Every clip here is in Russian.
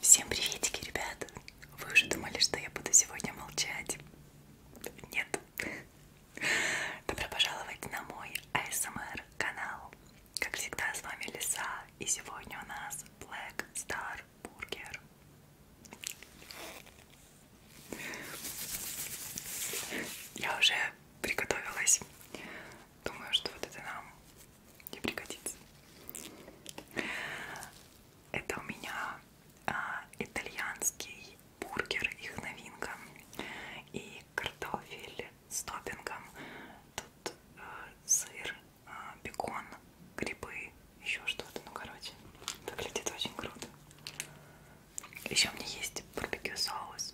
Всем приветики, ребят! Вы уже думали, что я буду сегодня молчать? Нет. Добро пожаловать на мой ASMR канал. Как всегда, с вами Лиса, и сегодня у нас Black Star Burger. Я уже приготовилась. Думаю, что вот это нам не пригодится. Это у меня а, итальянский бургер, их новинка. И картофель с топпингом. Тут а, сыр, а, бекон, грибы, еще что-то. Ну, короче, выглядит очень круто. Еще у меня есть барбекю соус.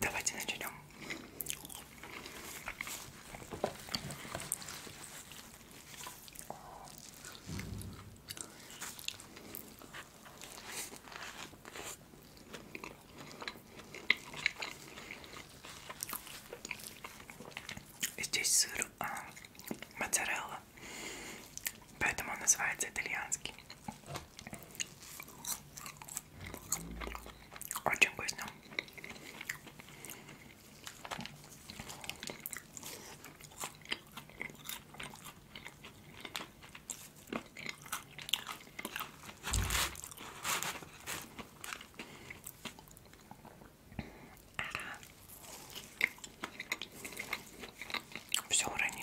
Давайте начнем. Здесь сыр а, моцарелла мало. Поэтому он называется итальянский. Очень вкусно. Все уронила.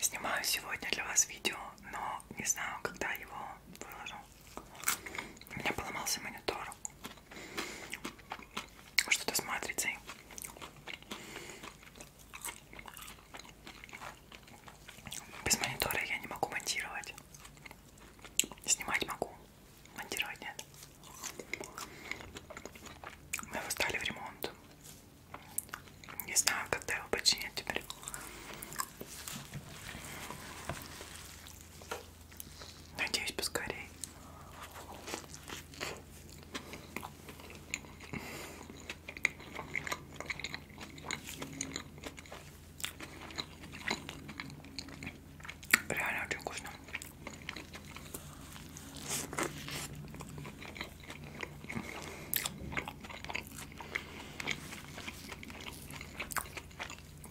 Снимаю сегодня для вас видео, но не знаю, когда его выложу. У меня поломался монитор. Что-то с матрицей. Без монитора я не могу монтировать. Снимать могу, монтировать нет. Мы его стали в ремонт. Не знаю, когда его починят теперь. Надеюсь, поскорее. Реально очень вкусно.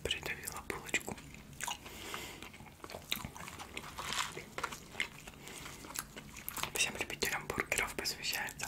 Придавила булочку. Всем любителям бургеров посвящается.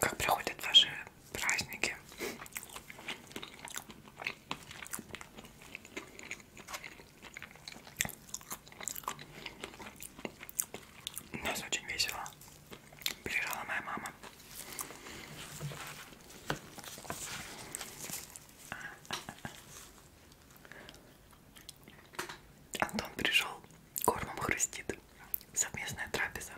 Как проходят ваши праздники? У нас очень весело. Приезжала моя мама. Антон пришел, кормом хрустит. Совместная трапеза.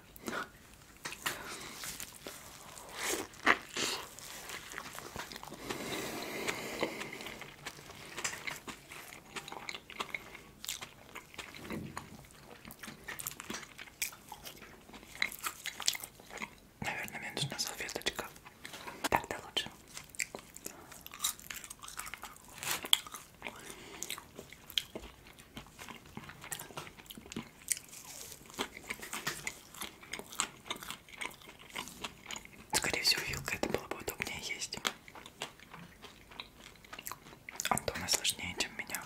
Наверное, мне нужна салфеточка. Так-то лучше. Скорее всего, вилка это было бы удобнее есть. Антона сложнее, чем меня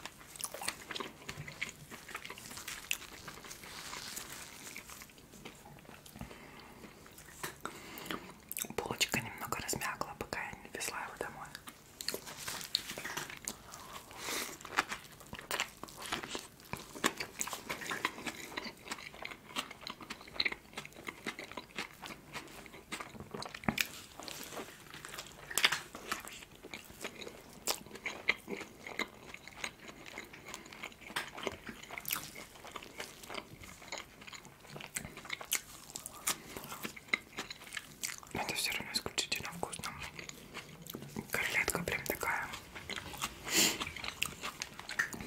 булочка немного размякла, пока я не везла его домой. Но это все равно исключительно вкусно. Котлетка прям такая.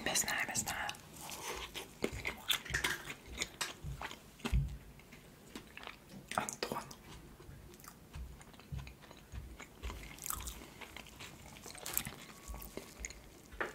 Мясная, мясная. Антон.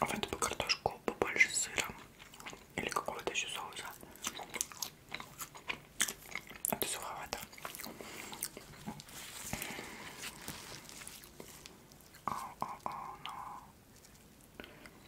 А в эту бы картошку побольше сыра или какого-то еще соуса. Это суховато. Oh, oh, oh, no.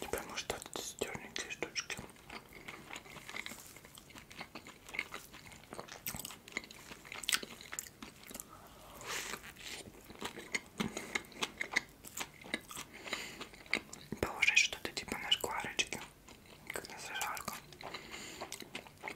И потому что это стерненькие штучки. Положить что-то типа на шкварочки, как на зажарку.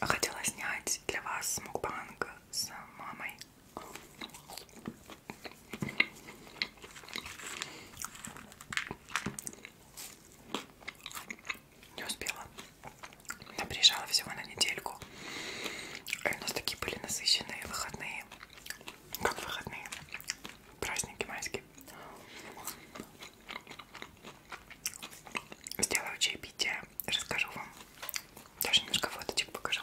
А хотела снять для вас мукбанг с мамой. Не успела. Я приезжала всего на недельку. И у нас такие были насыщенные выходные. Как выходные? праздники майские. Сделаю чаепитие, расскажу вам. Даже немножко фоточек покажу.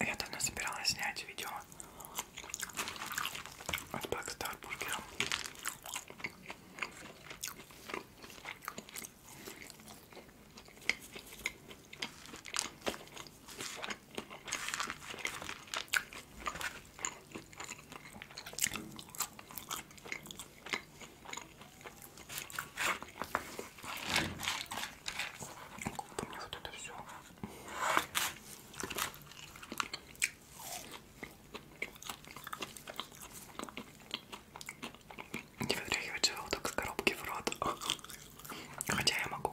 Я давно собиралась снять видео от Blackstar Burger. Мне вот это все. Не вытряхивать желудок с коробки в рот. Хотя я могу.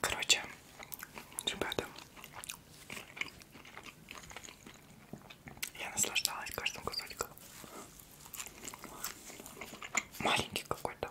Короче, ребята, я наслаждалась каждым кусочком. Маленький какой-то.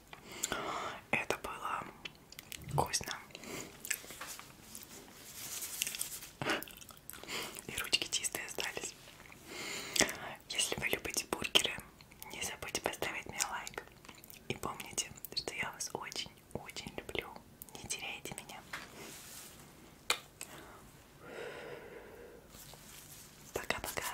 Это было вкусно. И ручки чистые остались. Если вы любите бургеры, не забудьте поставить мне лайк. И помните, что я вас очень-очень люблю. Не теряйте меня. Пока-пока.